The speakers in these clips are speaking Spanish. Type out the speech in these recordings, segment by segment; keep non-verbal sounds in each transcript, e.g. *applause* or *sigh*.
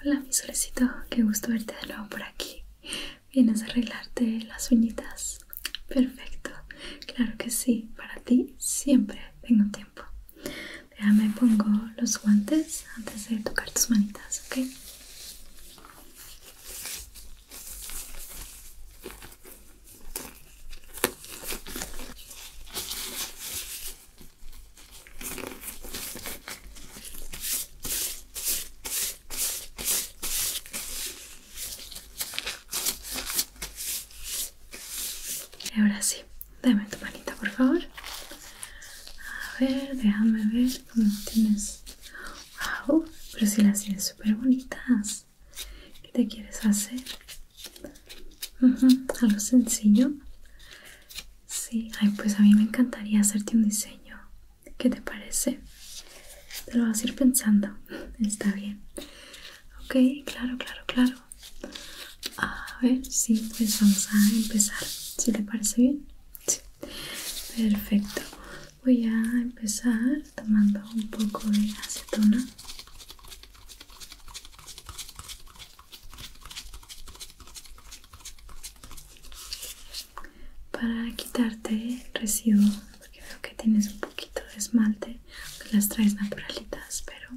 Hola mi solecito, qué gusto verte de nuevo por aquí. Vienes a arreglarte las uñitas. Perfecto, claro que sí, para ti siempre tengo tiempo. Déjame pongo los guantes antes de tocar tus manitas, ¿ok? Ahora sí, dame tu manita por favor. A ver, déjame ver cómo tienes. Wow, pero si las tienes súper bonitas. ¿Qué te quieres hacer. Algo sencillo. Sí, Ay, pues a mí me encantaría hacerte un diseño. ¿Qué te parece? Te lo vas a ir pensando. *laughs* Está bien. Ok, claro, claro, claro. A ver, sí, pues vamos a empezar. ¿Sí te parece bien? Sí. Perfecto. Voy a empezar tomando un poco de acetona para quitarte el residuo porque veo que tienes un poquito de esmalte que pues las traes naturalitas pero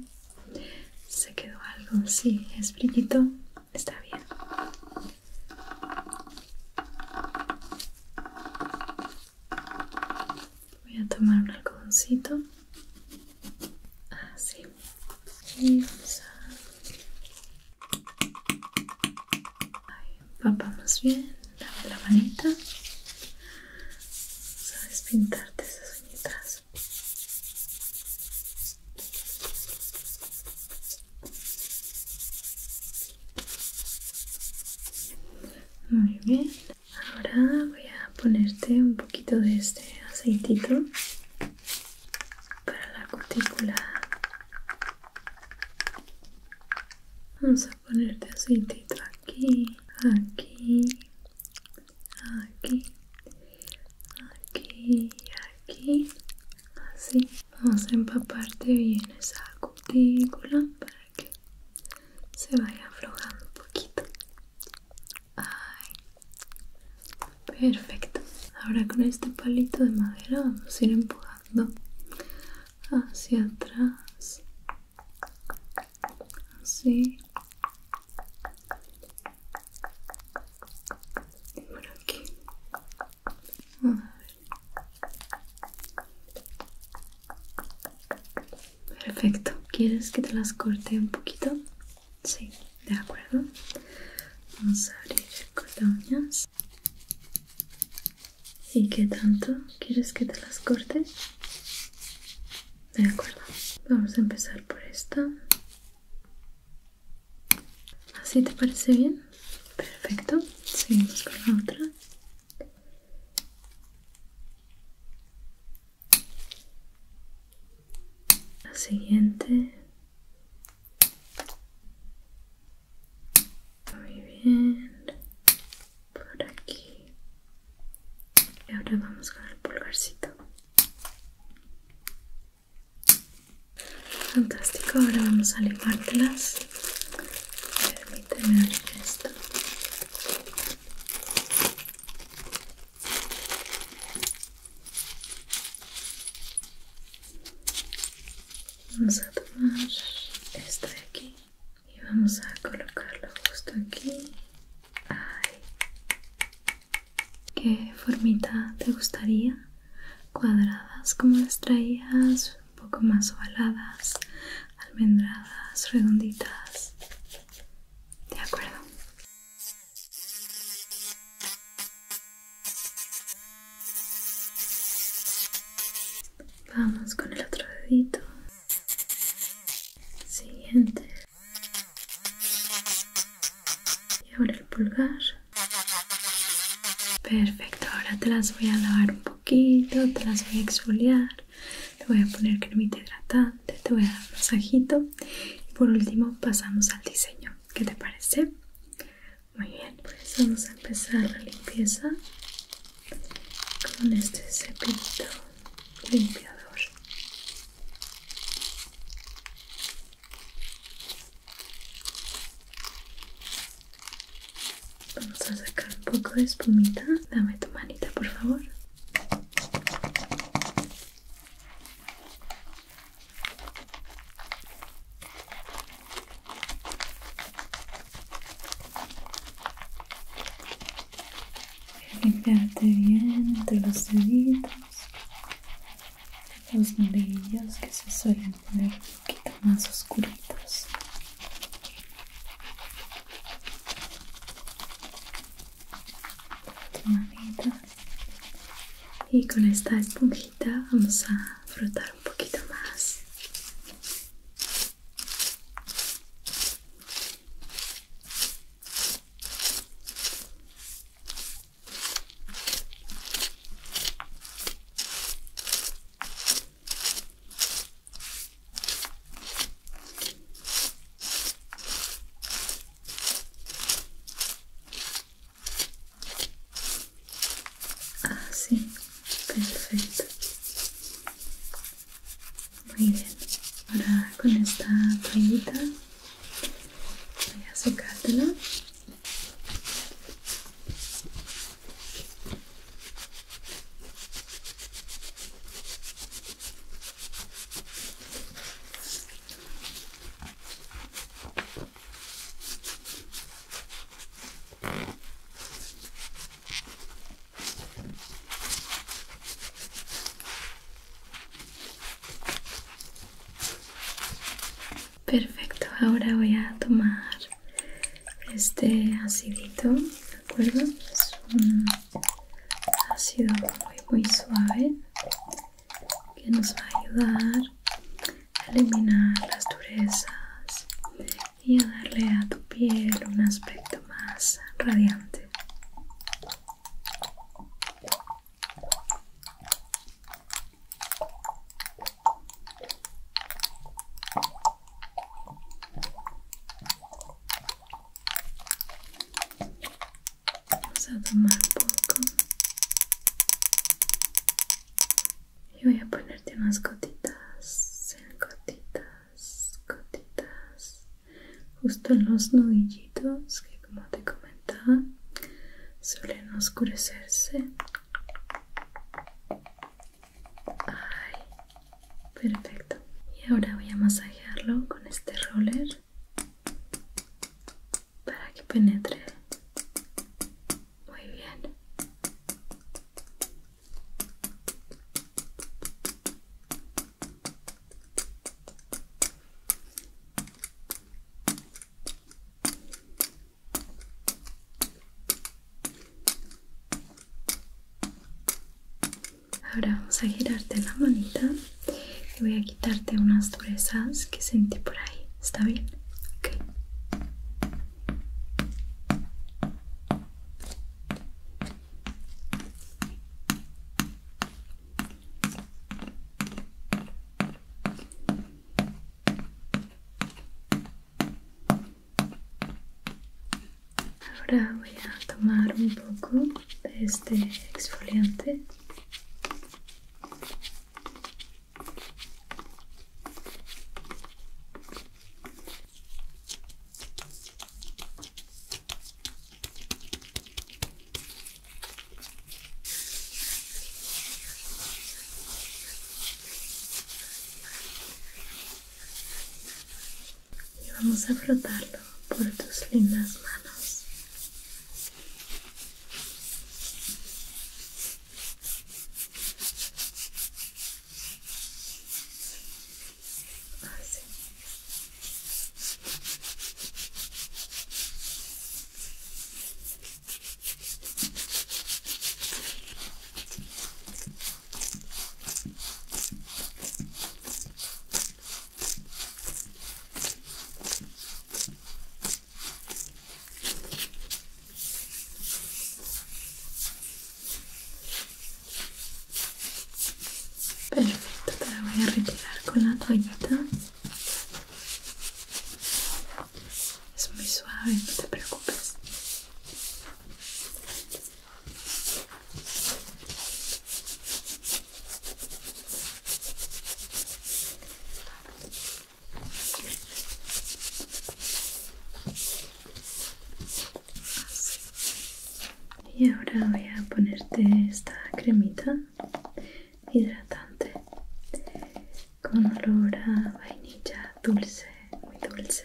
se quedó algo sí es brillito está bien Voy a tomar un algodoncito. Así. Y vamos a... Ahí, empapamos bien. Dame la manita. Vamos a despintarte esas uñitas. Muy bien. Ahora voy a ponerte un poquito de este aceitito para la cutícula. Vamos a ponerte aceitito aquí, aquí, aquí, aquí y aquí. Así. Vamos a empaparte bien esa cutícula que se vaya aflojando un poquito. Ay. Perfecto. Ahora con este palito de madera vamos a ir empujando hacia atrás. Así. por aquí. A ver. Perfecto. ¿Quieres que te las corte un poquito? Sí, de acuerdo. Vamos a abrir el ¿Y qué tanto quieres que te las corte? De acuerdo. Vamos a empezar por esta. ¿Así te parece bien? Perfecto. Seguimos con la otra la siguiente muy bien por aquí y ahora vamos con el pulgarcito fantástico ahora vamos a limártelas permíteme esto Vamos a tomar esta de aquí y vamos a colocarlo justo aquí. ¿Qué formita te gustaría? ¿Cuadradas como las traías? ¿Un poco más ovaladas? almendradas redonditas de acuerdo vamos con el otro dedito siguiente y ahora el pulgar perfecto ahora te las voy a lavar un poco poquito, te las voy a exfoliar, te voy a poner cremita hidratante, te voy a dar un masajito y por último pasamos al diseño. ¿Qué te parece? Muy bien, pues vamos a empezar la limpieza con este cepillo limpiador. Vamos a sacar un poco de espumita. Dame tu manita, por favor. Limpiarte bien entre los deditos, los nudillos que se suelen poner un poquito más oscuritos y con esta esponjita vamos a frotar un poquito más Ah sí, perfecto. Muy bien, ahora con esta toallita voy a secártela. Perfecto, ahora voy a tomar este acidito, ¿de acuerdo? ha sido muy muy suave que nos va a ayudar a eliminar las durezas y a darle a tu piel un aspecto más radiante Vamos a tomar poco. Y voy a ponerte unas gotitas, gotitas, gotitas, justo en los nudillitos que como te comentaba suelen oscurecerse perfecto. Y ahora voy a masajearlo con este roller para que penetre muy bien. Ahora vamos a girarte la manita y voy a quitarte unas durezas que sentí por ahí. ¿Está bien? Ok. Ahora voy a tomar un poco de este exfoliante y vamos a frotarlo por tus lindas manos. Perfecto, te la voy a retirar con la toallita. Es muy suave, no te preocupes. Y ahora voy a ponerte esta cremita hidratante con olor a vainilla dulce, muy dulce.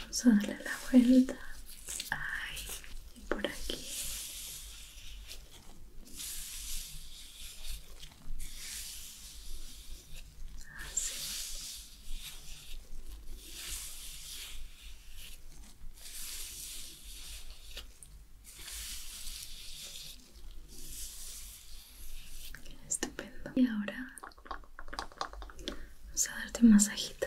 Vamos a darle la vuelta. Ay, y por aquí. Estupendo. Y ahora vamos a darte un masajito.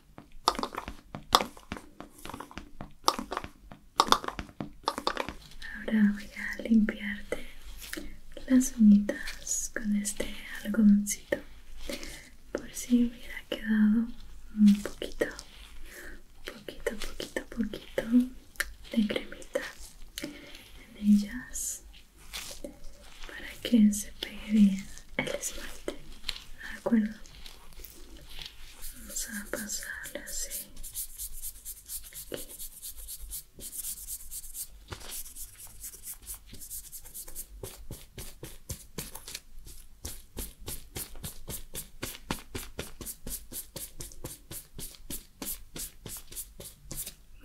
Ahora voy a limpiarte las uñitas con este algodoncito por si hubiera quedado un poquito, poquito, poquito, poquito de cremita en ellas para que se pegue bien el esmalte, ¿de acuerdo? Vamos a pasarle así.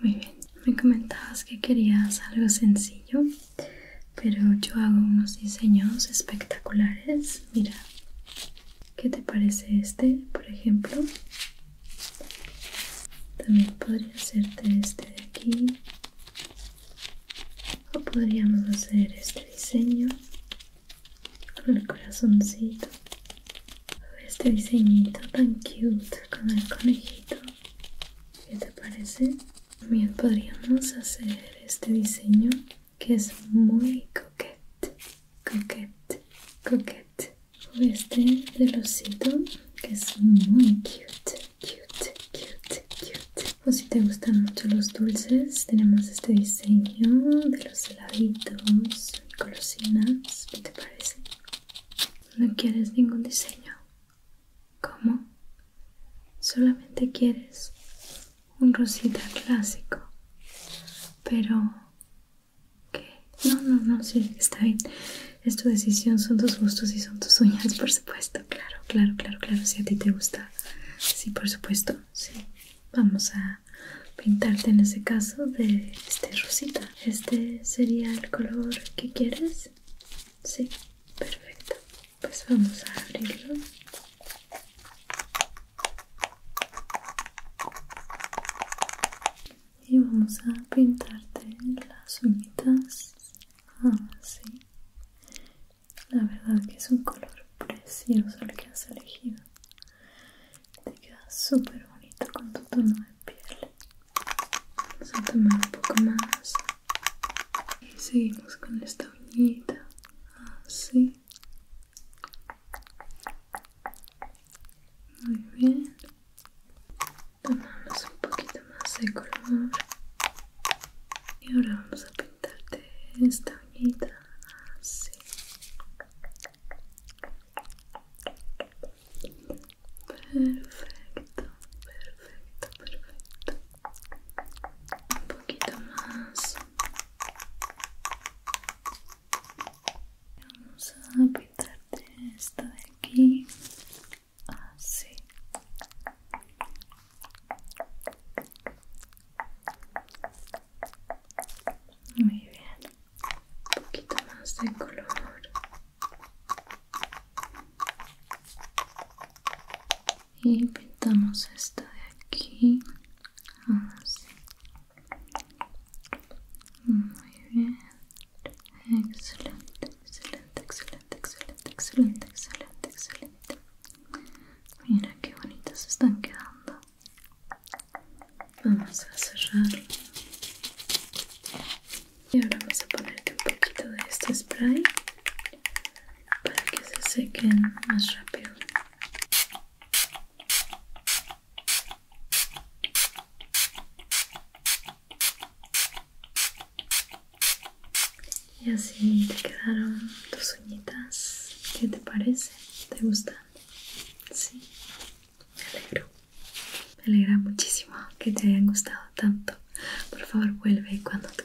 Muy bien, me comentabas que querías algo sencillo pero yo hago unos diseños espectaculares. Mira, ¿qué te parece este, por ejemplo? También podría hacerte este de aquí. O podríamos hacer este diseño con el corazoncito. Este diseñito tan cute con el conejito. ¿Qué te parece? También podríamos hacer este diseño que es muy coquete, coquete, coquete. O este del osito que es muy cute, cute, cute, cute. O si te gustan mucho los dulces, tenemos este diseño de los heladitos y golosinas. ¿Qué te parece? ¿No quieres ningún diseño? ¿Cómo? Solamente quieres un rosita clásico. Pero... ¿Qué? No, no, no, sí, está bien. Es tu decisión, son tus gustos y son tus uñas, por supuesto. Claro, claro, claro, claro. Si a ti te gusta. Sí, por supuesto. Sí. Vamos a pintarte en ese caso de este rosita. Este sería el color que quieres. Sí, perfecto pues vamos a abrirlo y vamos a pintarte las uñitas así ah, la verdad que es un color precioso el que has elegido te queda súper bonito con tu tono de piel vamos a tomar un poco más y seguimos con esta uñita, así. Muy bien. Tomamos un poquito más de color. Y ahora vamos a pintarte esta uñita así. Perfecto, perfecto, perfecto un poquito más vamos a pintarte esto de aquí así muy bien un poquito más de color y pintamos esta de aquí así ah, muy bien excelente excelente excelente excelente excelente excelente excelente mira qué bonitas están quedando vamos a cerrar y ahora vamos a ponerte un poquito de este spray para que se sequen más rápido. Y así te quedaron tus uñitas. ¿Qué te parece? ¿Te gustan? Sí, me alegro. Me alegra muchísimo que te hayan gustado tanto. Por favor, vuelve cuando te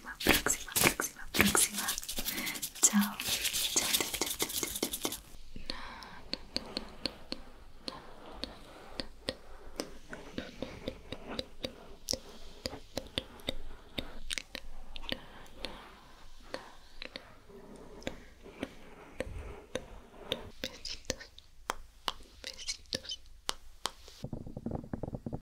próxima, próxima, próxima, Besitos. Besitos.